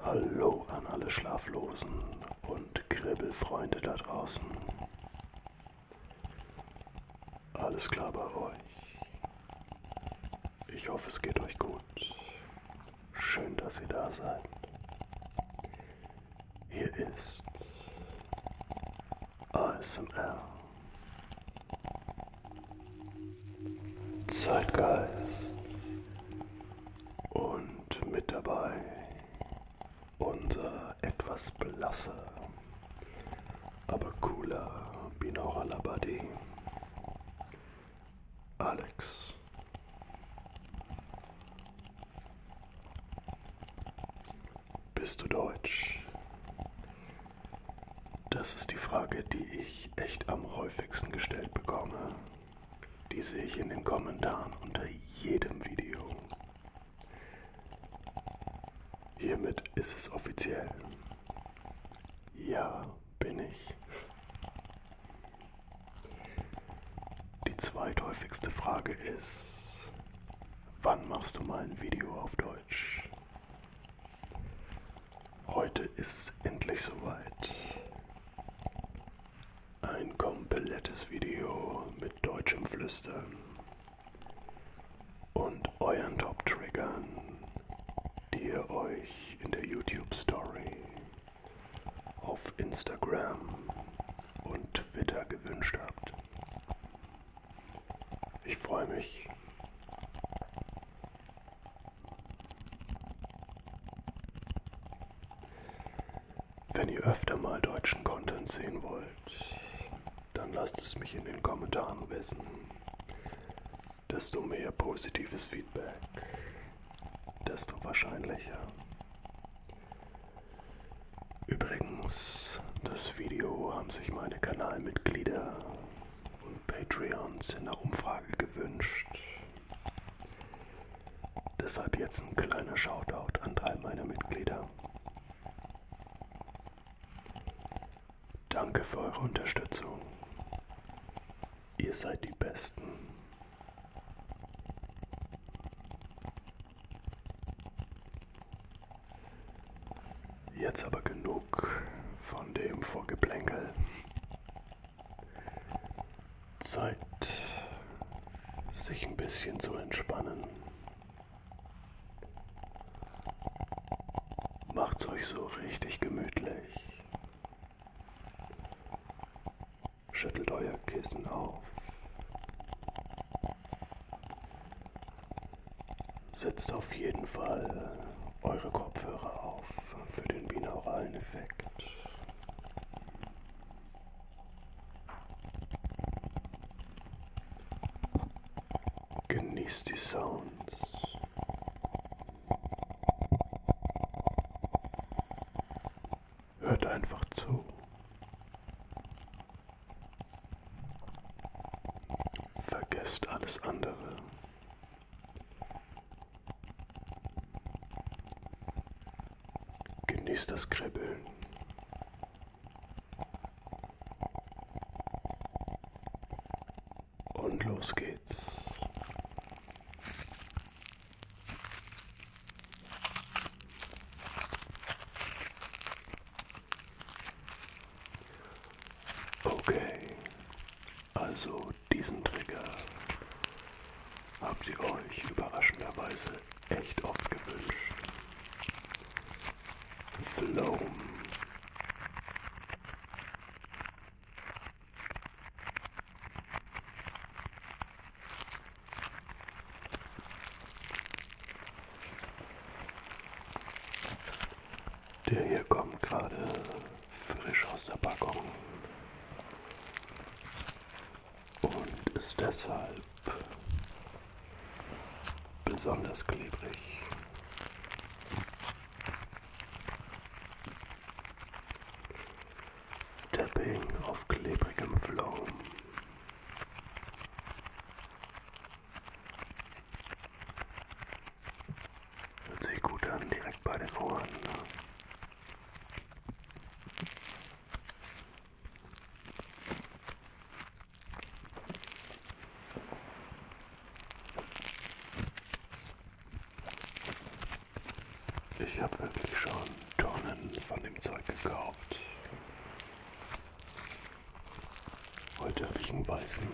Hallo an alle Schlaflosen und Kribbelfreunde da draußen. Alles klar bei euch. Ich hoffe, es geht euch gut. Schön, dass ihr da seid. Hier ist ASMR. Zeitgeist. Und mit dabei unser etwas blasser, aber cooler Binaurala Buddy Alex bist du deutsch? Das ist die Frage, die ich echt am häufigsten gestellt bekomme. Die sehe ich in den Kommentaren unter jedem Video. Hiermit ist es offiziell. Ja, bin ich. Die zweithäufigste Frage ist, wann machst du mal ein Video auf Deutsch? Heute ist es endlich soweit. Ein komplettes Video mit deutschem Flüstern und euren Top-Triggern, die ihr euch in der YouTube-Story auf Instagram und Twitter gewünscht habt. Ich freue mich. Wenn ihr öfter mal deutschen Content sehen wollt, dann lasst es mich in den Kommentaren wissen. Desto mehr positives Feedback, desto wahrscheinlicher Übrigens, das Video haben sich meine Kanalmitglieder und Patreons in der Umfrage gewünscht. Deshalb jetzt ein kleiner Shoutout an drei meiner Mitglieder. Danke für eure Unterstützung. Ihr seid die Besten. Jetzt aber genug von dem Vorgeplänkel. Zeit, sich ein bisschen zu entspannen. Macht's euch so richtig gemütlich. Schüttelt euer Kissen auf. Setzt auf jeden Fall eure Kopfhörer auf für den binauralen Effekt. Genießt die Sounds. Hört einfach zu. Vergesst alles andere. Genießt das Kribbeln. Und los geht's. Okay, also diesen Trigger habt ihr euch überraschenderweise echt oft gewünscht. Floam. Der hier kommt gerade frisch aus der Packung und ist deshalb besonders klebrig. Tapping auf klebrigem Flow. Hört sich gut an, direkt bei den Ohren. Ne? Ich habe wirklich schon Tonnen von dem Zeug gekauft. Heute habe ich einen weißen,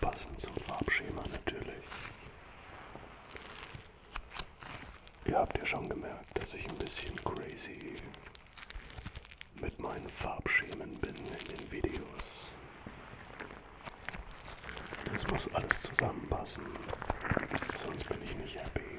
passend zum Farbschema natürlich. Ihr habt ja schon gemerkt, dass ich ein bisschen crazy mit meinen Farbschemen bin in den Videos. Das muss alles zusammenpassen, sonst bin ich nicht happy.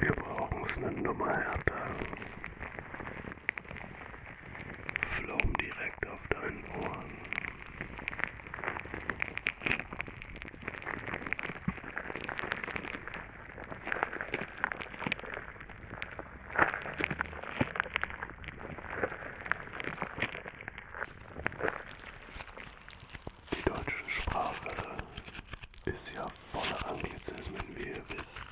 Wir brauchen's eine Nummer härter. Flaum direkt auf deinen Ohren. Die deutsche Sprache ist ja voller Anglizismen, wie ihr wisst.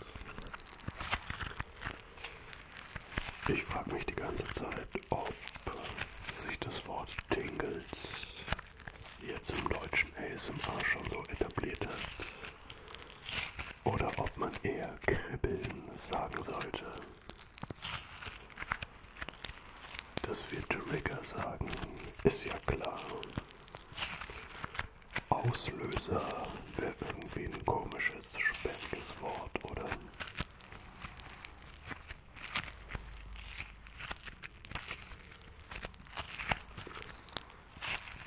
Ich frage mich die ganze Zeit, ob sich das Wort Tingles jetzt im deutschen ASMR schon so etabliert hat. Oder ob man eher kribbeln sagen sollte. Dass wir Trigger sagen, ist ja klar. Auslöser wäre irgendwie ein komisches, sperriges Wort, oder?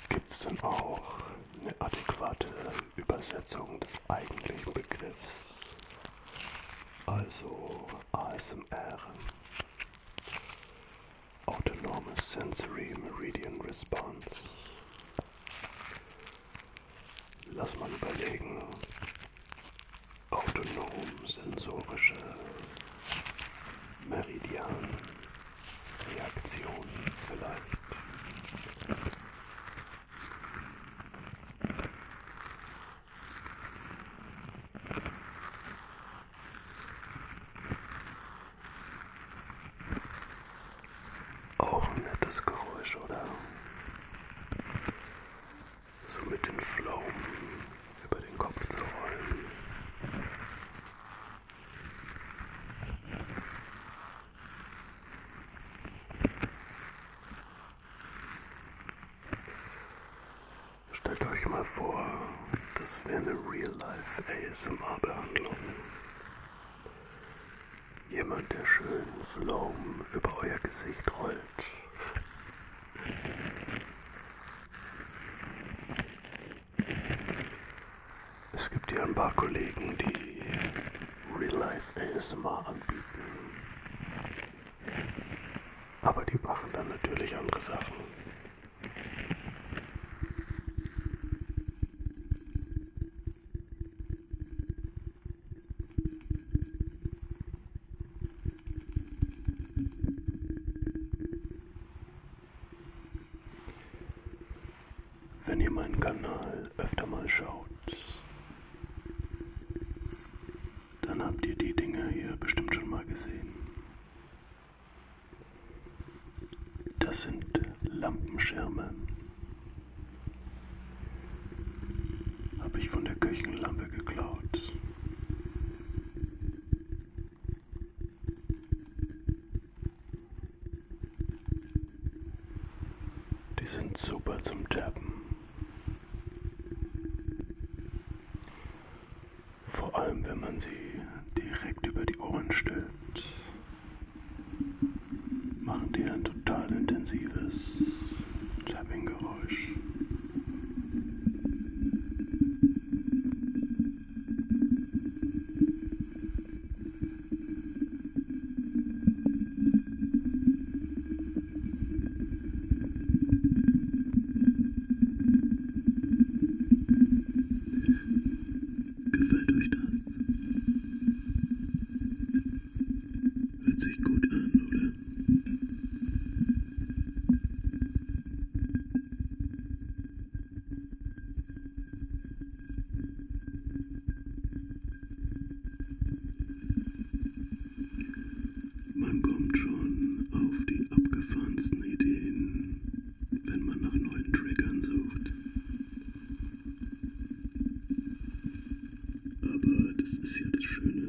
Gibt es denn auch eine adäquate Übersetzung des eigentlichen Begriffs? Also ASMR. Autonomous Sensory Meridian Response. Lass mal überlegen. Autonom sensorische Meridian Reaktion vielleicht. Auch ein nettes Geräusch, oder? So mit den Pflaumen über den Kopf zu rollen. Stellt euch mal vor, das wäre eine Real-Life ASMR-Behandlung. Jemand, der schön Floam über euer Gesicht rollt. Es gibt hier ein paar Kollegen, die Real-Life ASMR anbieten. Aber die machen dann natürlich andere Sachen. Wenn ihr meinen Kanal öfter mal schaut, dann habt ihr die Dinge hier bestimmt schon mal gesehen. Das sind Lampenschirme. Habe ich von der Küchenlampe geklaut. Die sind super zum Tappen. Vor allem, wenn man sie direkt über die Ohren stellt, machen die ein total intensives Tapping-Geräusch. Gefällt euch das? Hört sich gut an, oder? Man kommt schon auf die abgefahrensten Ideen wenn man nach neuen Triggern sucht. Aber das ist ja das Schöne.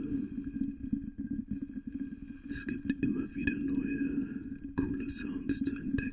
Es gibt immer wieder neue, coole Sounds zu entdecken.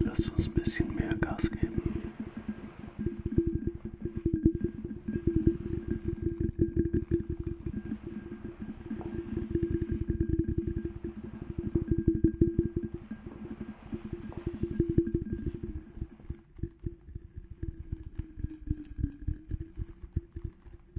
Lasst uns ein bisschen mehr Gas geben.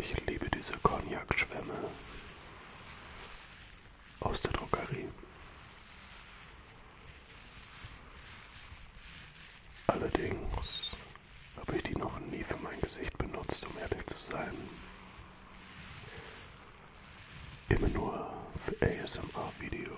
Ich liebe diese Cognac-Schwämme aus der Drogerie. Allerdings habe ich die noch nie für mein Gesicht benutzt, um ehrlich zu sein. Immer nur für ASMR-Videos.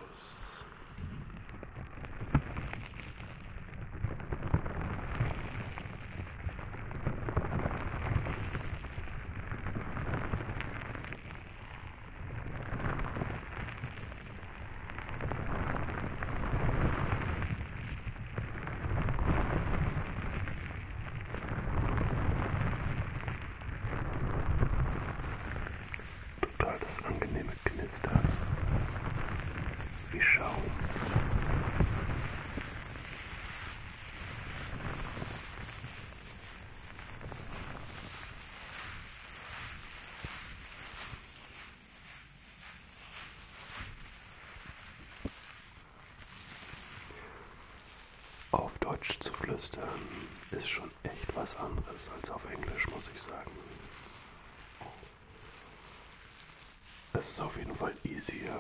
Total das angenehme Knistern wie Schaum. Auf Deutsch zu flüstern ist schon echt was anderes als auf Englisch, muss ich sagen. Es ist auf jeden Fall easier,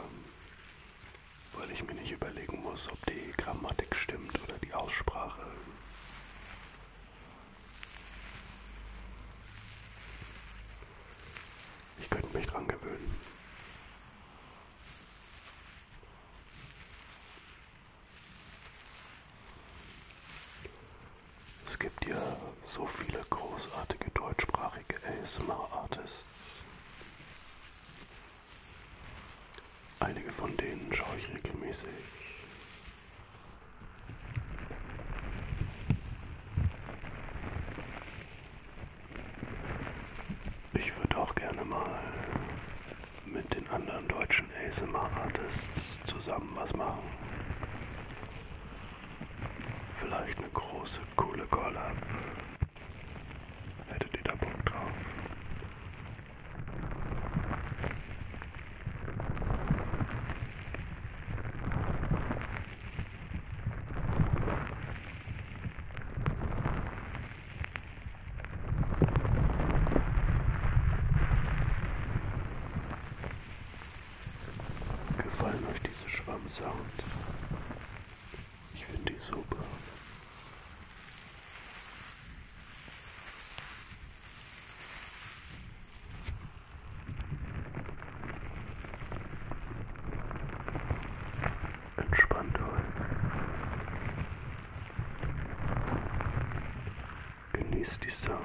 weil ich mir nicht überlegen muss, ob die Grammatik stimmt oder die Aussprache. Ich könnte mich dran gewöhnen. Es gibt ja so viele großartige deutschsprachige ASMR-Artists. Einige von denen schaue ich regelmäßig. Ich würde auch gerne mal mit den anderen deutschen ASMR-Artists zusammen was machen. Vielleicht eine große, coole Collab. Hättet ihr da Bock drauf? Gefallen euch diese Schwammsounds? Ich finde die super. Entspannt euch. Genießt die Sounds.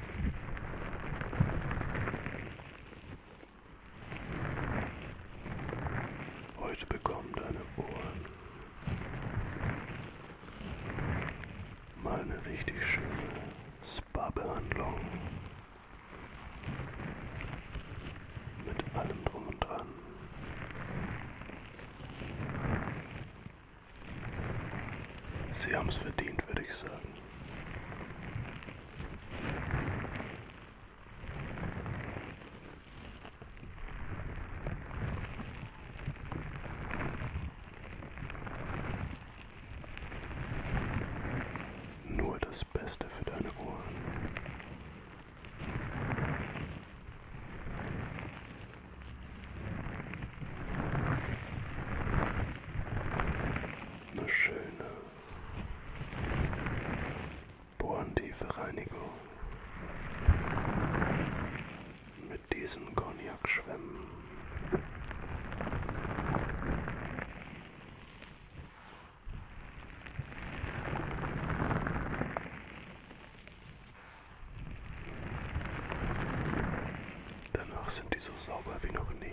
Heute bekommen deine Ohren mal eine richtig schöne Spa-Behandlung. Mit allem drum und dran. Sie haben es verdient, würde ich sagen. Nur das Beste für deine Ohren. Eine schöne bohrentiefe Reinigung mit diesen Cognac-Schwämmen. Danach sind die so sauber wie noch nie.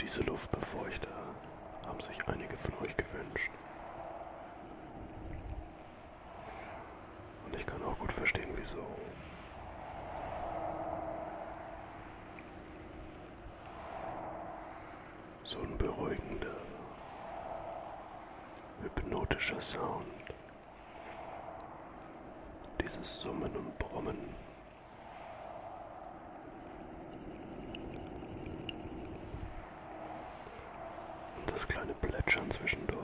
Diese Luftbefeuchter haben sich einige von euch gewünscht. Und ich kann auch gut verstehen, wieso. So ein beruhigender, hypnotischer Sound. Dieses Summen und Brummen und das kleine Plätschern zwischendurch.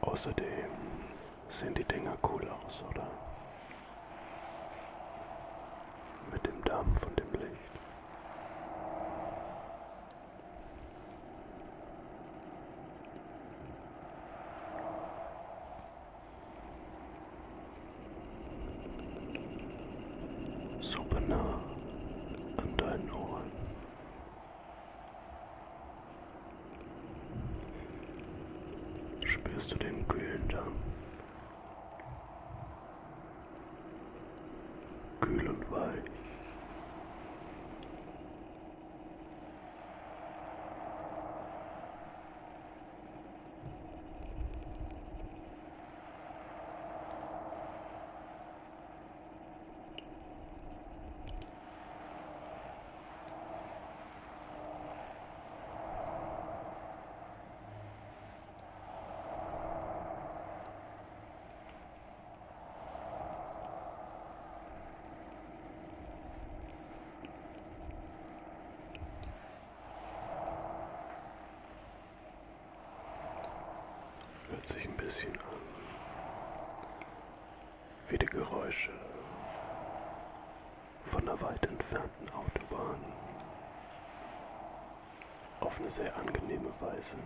Außerdem sehen die Dinger cool aus, oder? Mit dem Dampf und dem Licht. Super nah an deinen Ohren. Spürst du den kühlen Dampf? Kühl und weich. Hört sich ein bisschen an wie die Geräusche von der weit entfernten Autobahn auf eine sehr angenehme Weise.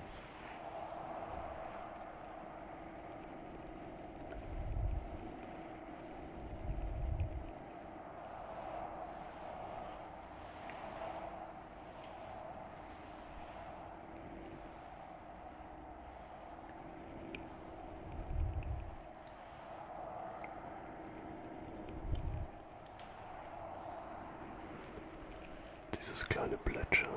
Dieses kleine Plätscher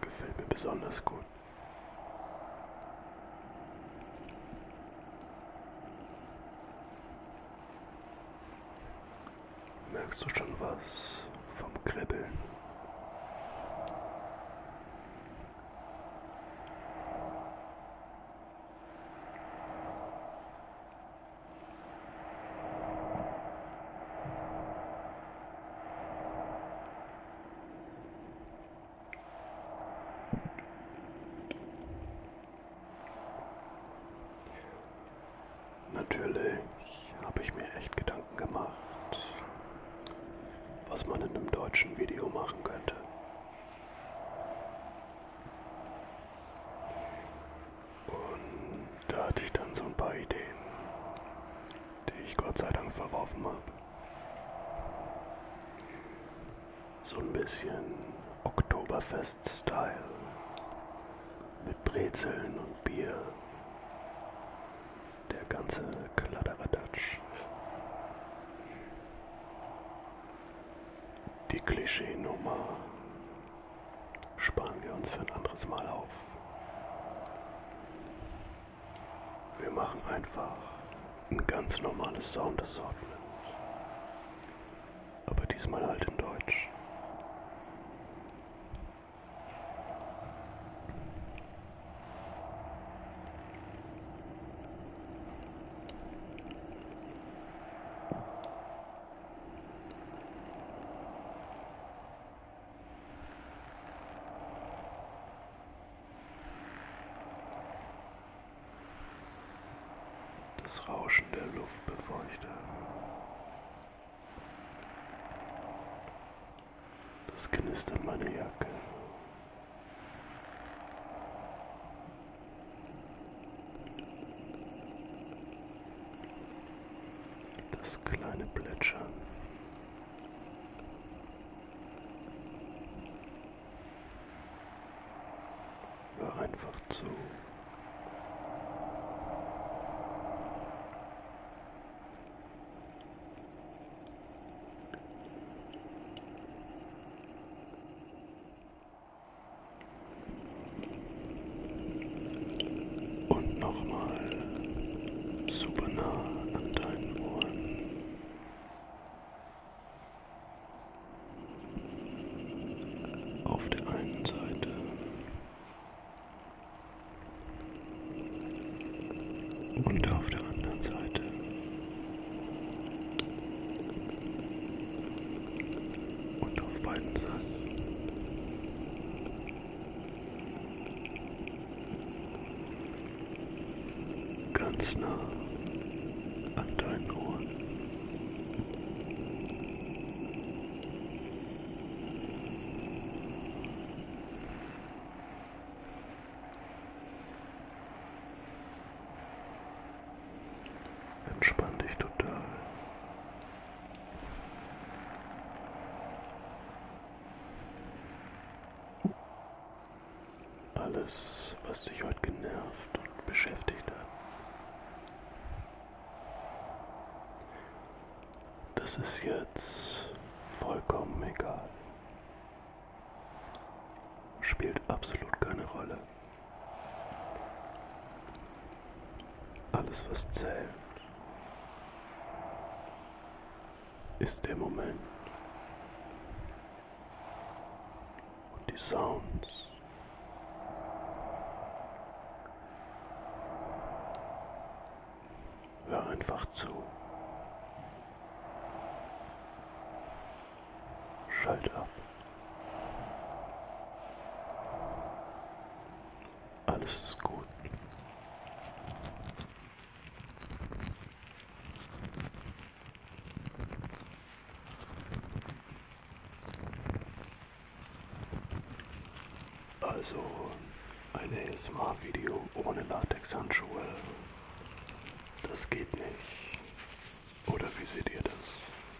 gefällt mir besonders gut. Merkst du schon was vom Kribbeln? Natürlich habe ich mir echt Gedanken gemacht, was man in einem deutschen Video machen könnte. Und da hatte ich dann so ein paar Ideen, die ich Gott sei Dank verworfen habe. So ein bisschen Oktoberfest-Style mit Brezeln und Bier. Der ganze Kladderadatsch. Die Klischeenummer sparen wir uns für ein anderes Mal auf. Wir machen einfach ein ganz normales Soundassortment. Aber diesmal halt in Deutsch. Das Rauschen der Luft befeuchte. Das knistert meine Jacke. Das kleine Plätschern. Hör einfach zu. Und nochmal super nah an deinen Ohren. Auf der einen Seite und auf der anderen Seite und auf beiden Seiten. Ganz nah an deinen Ohren. Entspann dich total. Alles, was dich heute genervt und beschäftigt hat, das ist jetzt vollkommen egal. Spielt absolut keine Rolle. Alles, was zählt, ist der Moment und die Sounds. Hör einfach zu. Schalt ab. Alles ist gut. Also ein ASMR-Video ohne Latex-Handschuhe. Das geht nicht. Oder wie seht ihr das?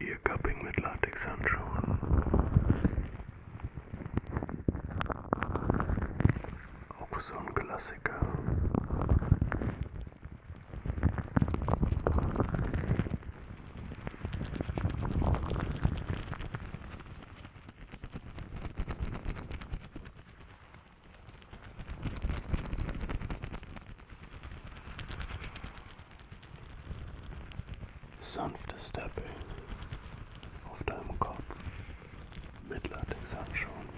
Ihr Cupping mit Latexhandschuhen. Auch so ein Klassiker. Sanftes Tapping auf deinem Kopf mit Latexhandschuhen.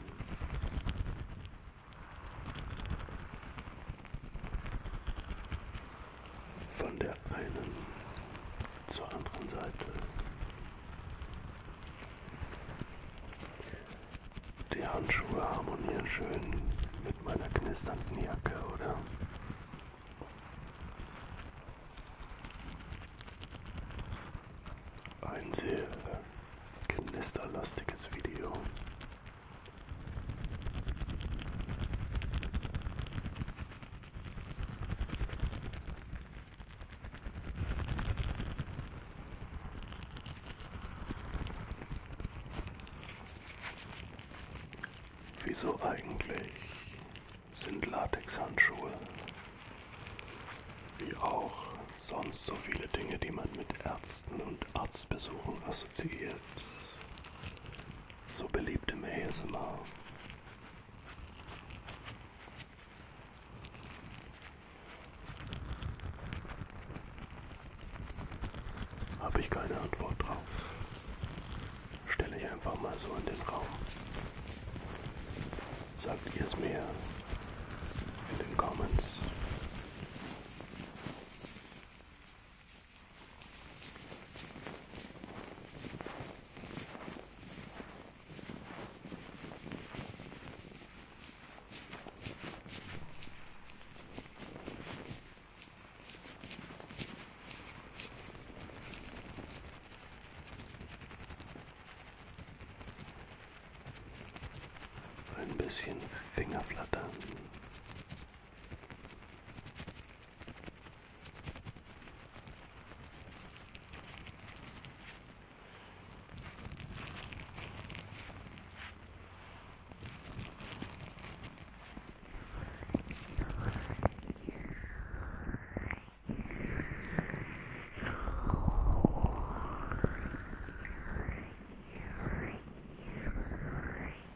Von der einen zur anderen Seite. Die Handschuhe harmonieren schön mit meiner knisternden Jacke, oder? Ein sehr knisterlastiges Video. Wieso eigentlich sind Latexhandschuhe, wie auch sonst so viele Dinge, die man mit Ärzten und Arztbesuchen assoziiert, so beliebt im ASMR? Habe ich keine Antwort drauf. Stelle ich einfach mal so in den Raum. Sagt ihr es mir in den Comments. Ein bisschen Fingerflattern.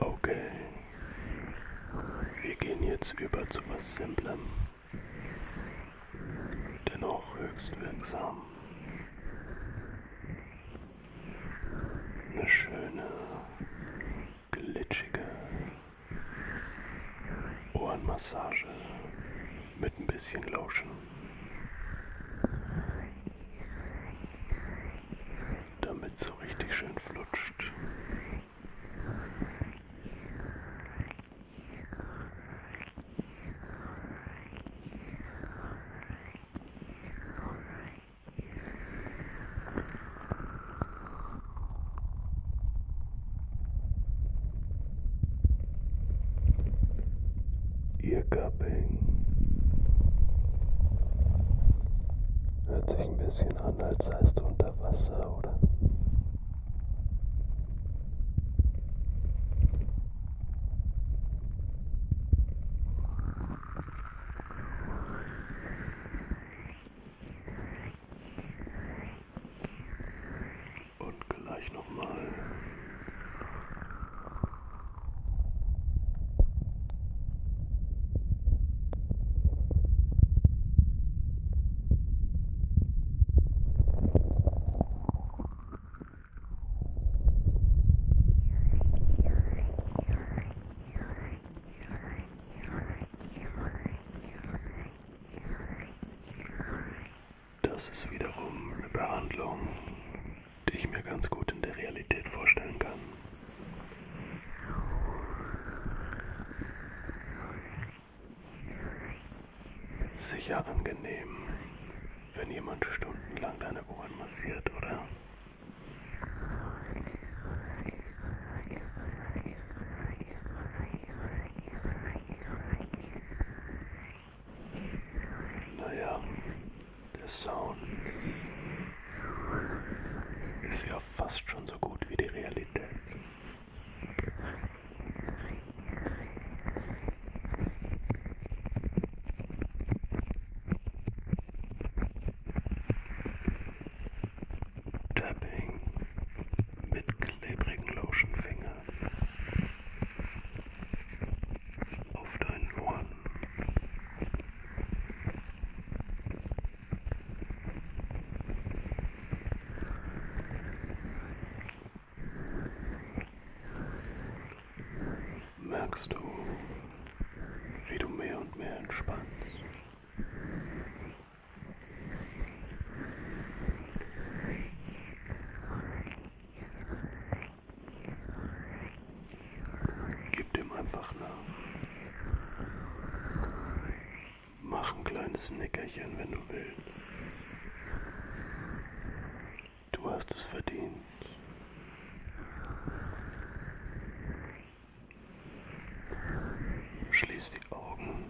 Okay. Wir gehen jetzt über zu was Simplem. Dennoch höchst wirksam. Eine schöne, glitschige Ohrenmassage mit ein bisschen Lotion. Damit so richtig schön flutscht. Earcupping hört sich ein bisschen an, als seist du unter Wasser, oder? Und gleich nochmal. Das ist wiederum eine Behandlung, die ich mir ganz gut in der Realität vorstellen kann. Sicher angenehm wenn jemand stundenlang deine Ohren massiert, oder? Naja, der Sound ist ja fast schon so gut wie die Realität. Tapping mit klebrigen Lotionfingern auf deinen Ohren merkst du, wie du mehr und mehr entspannst. Gib dem einfach nach. Mach ein kleines Nickerchen, wenn du willst. Du hast es verdient. Schließ die Augen.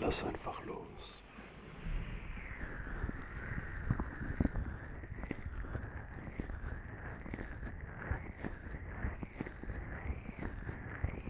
Lass einfach los.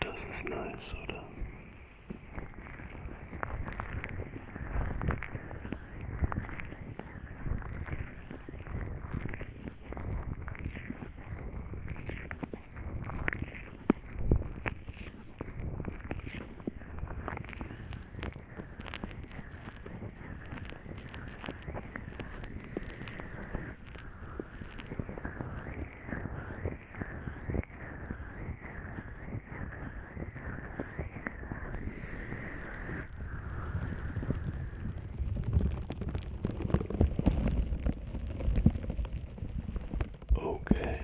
Das ist nice, oder? Okay.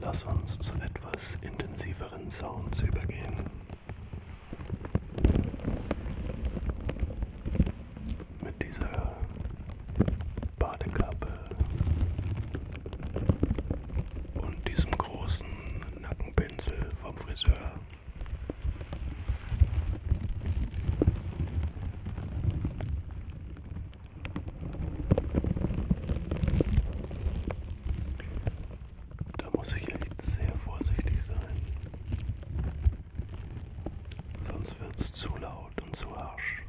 Lass uns zu etwas intensiveren Sounds übergehen mit dieser Badekappe und diesem großen Nackenpinsel vom Friseur. Da muss ich echt sehr vorsichtig sein. Sonst wird's zu laut und zu harsch.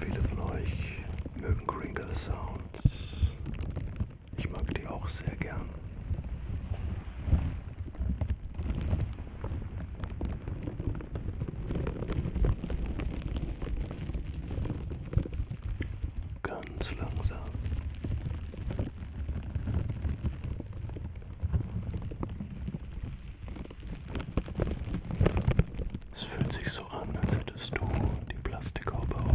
Viele von euch mögen Kringle Sound. Ich mag die auch sehr gern. Ganz langsam. Es fühlt sich so an, als hättest du die Plastikhaube auf.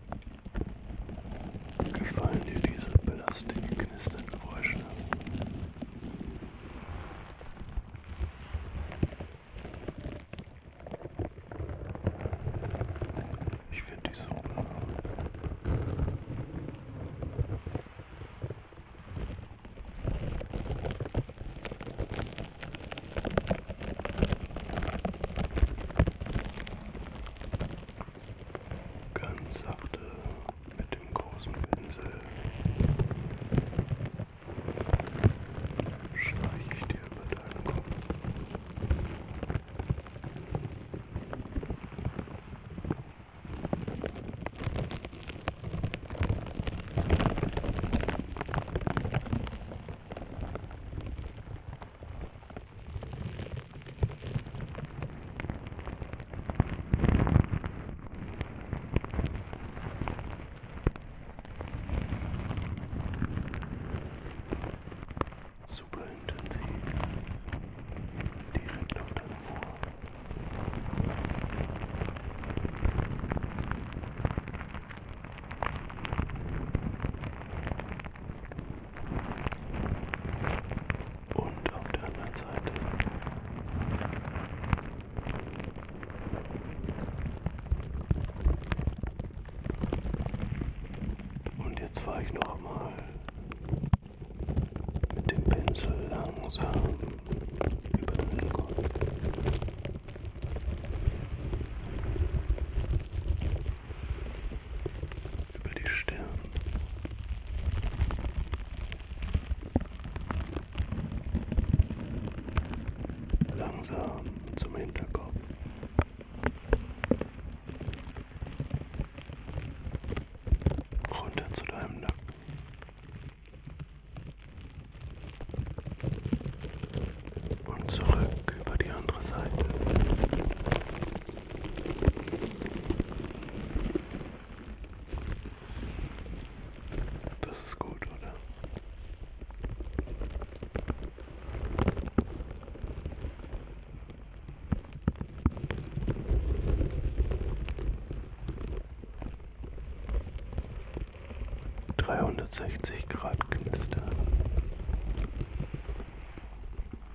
Gefallen dir diese plastikknisternden Geräusche? Ich finde die super ganz sachte mit dem großen Pinsel streiche ich dir über deinen Kopf. Super intensiv, direkt auf deinem Ohr. Und auf der anderen Seite. Und jetzt fahre ich nochmal mit dem Pinsel langsam über den Hintergrund über die Stirn. Langsam zum Hinterkopf. Runter zu deinem Nacken. Und zurück über die andere Seite. Das ist gut, oder? Dreihundertsechzig Grad Knister.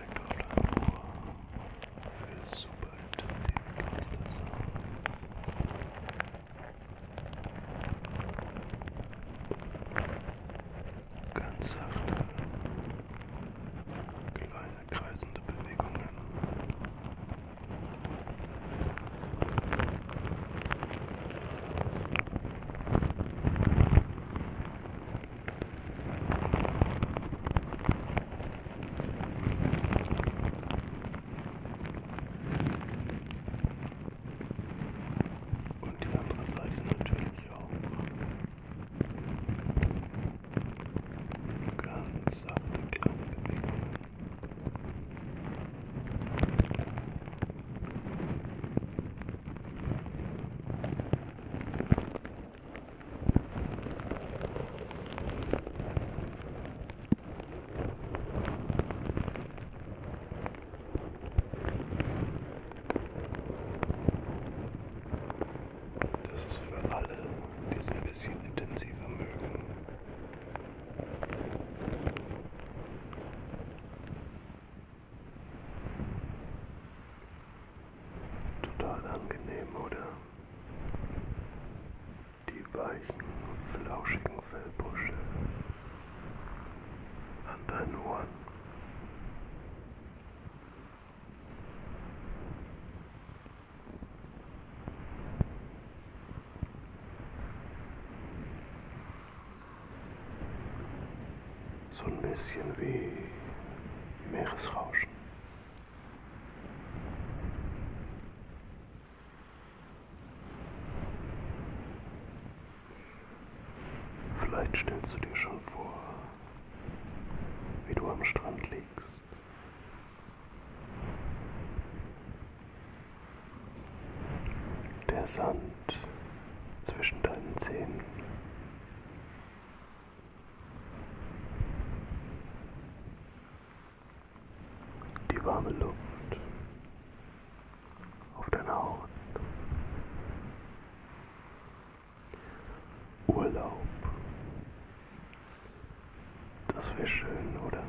direkt auf deinem Ohr für super intensive Cluster-Sounds. Ganz sachte, kleine kreisende Bewegungen. Und die andere Seite natürlich auch. Ganz sachte kleine Bewegungen. Das ist für alle, die es ein bisschen intensiver mögen. Total angenehm, oder? Die weichen, flauschigen Fellbusche an deinen Ohren so ein bisschen wie Meeresrauschen. Vielleicht stellst du dir schon vor, wie du am Strand liegst. Der Sand zwischen deinen Zähnen die warme Luft auf deiner Haut. Urlaub. Das wäre schön, oder?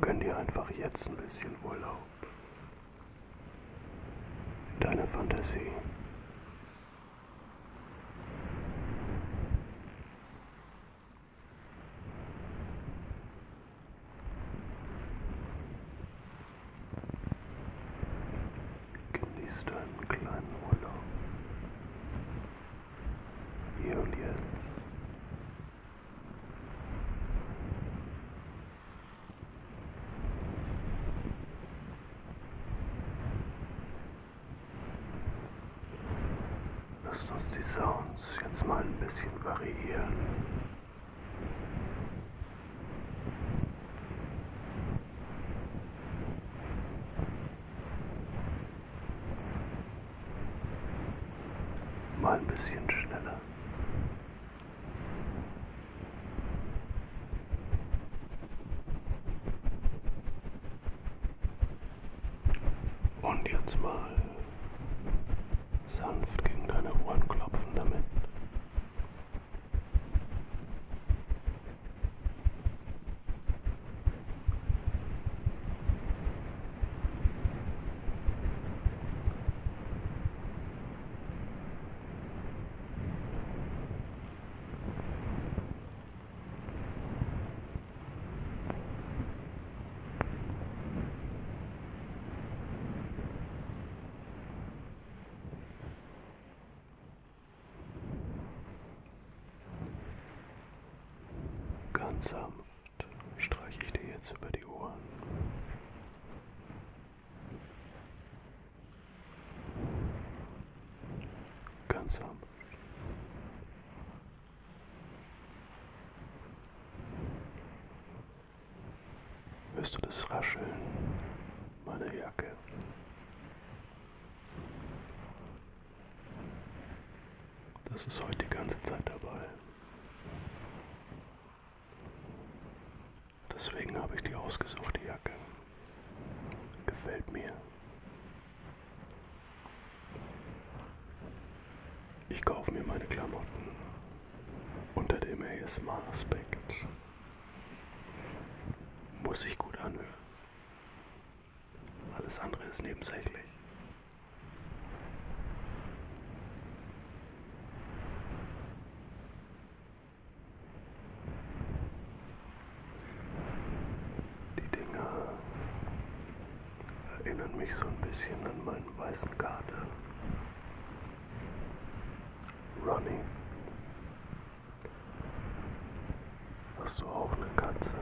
Gönn dir einfach jetzt ein bisschen Urlaub deine Fantasie. Genieß deinen kleinen Urlaub. Hier und jetzt. Lasst uns die Sounds jetzt mal ein bisschen variieren. Mal ein bisschen schneller. Und jetzt mal sanft gegen deine Ohren klopfen damit. Ganz sanft streiche ich dir jetzt über die Ohren. Ganz harmlos. Hörst du das Rascheln meiner Jacke? Das ist heute die ganze Zeit dabei. Deswegen habe ich die ausgesucht, die Jacke. Gefällt mir. Ich kaufe mir meine Klamotten unter dem ASMR-Aspekt. Muss sich gut anhören. Alles andere ist nebensächlich. Die Dinger erinnern mich so ein bisschen an meinen weißen Garten. Ronnie. Hast du auch eine Katze?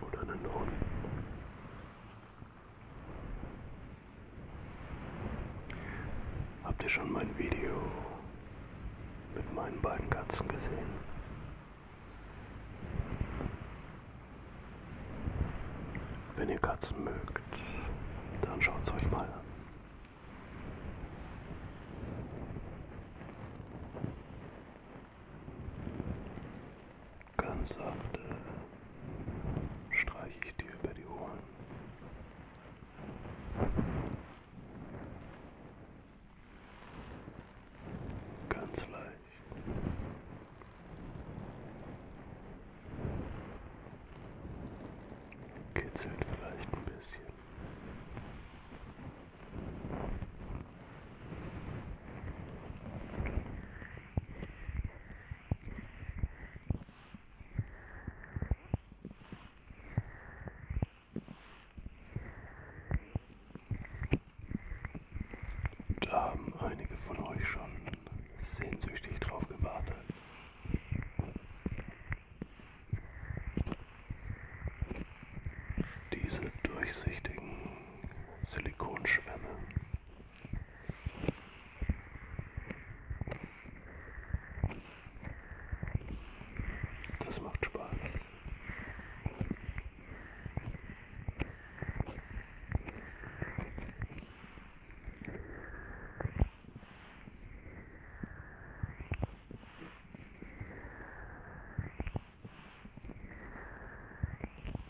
Oder einen Hund? Habt ihr schon mein Video mit meinen beiden Katzen gesehen? Wenn ihr Katzen mögt, dann schaut's euch mal an. Ganz sacht äh, streiche ich dir über die Ohren. Ganz leicht. Kitzelt vielleicht ein bisschen. Da haben einige von euch schon sehnsüchtig drauf gewartet. Diese durchsichtigen Silikonschwämme das macht Spaß.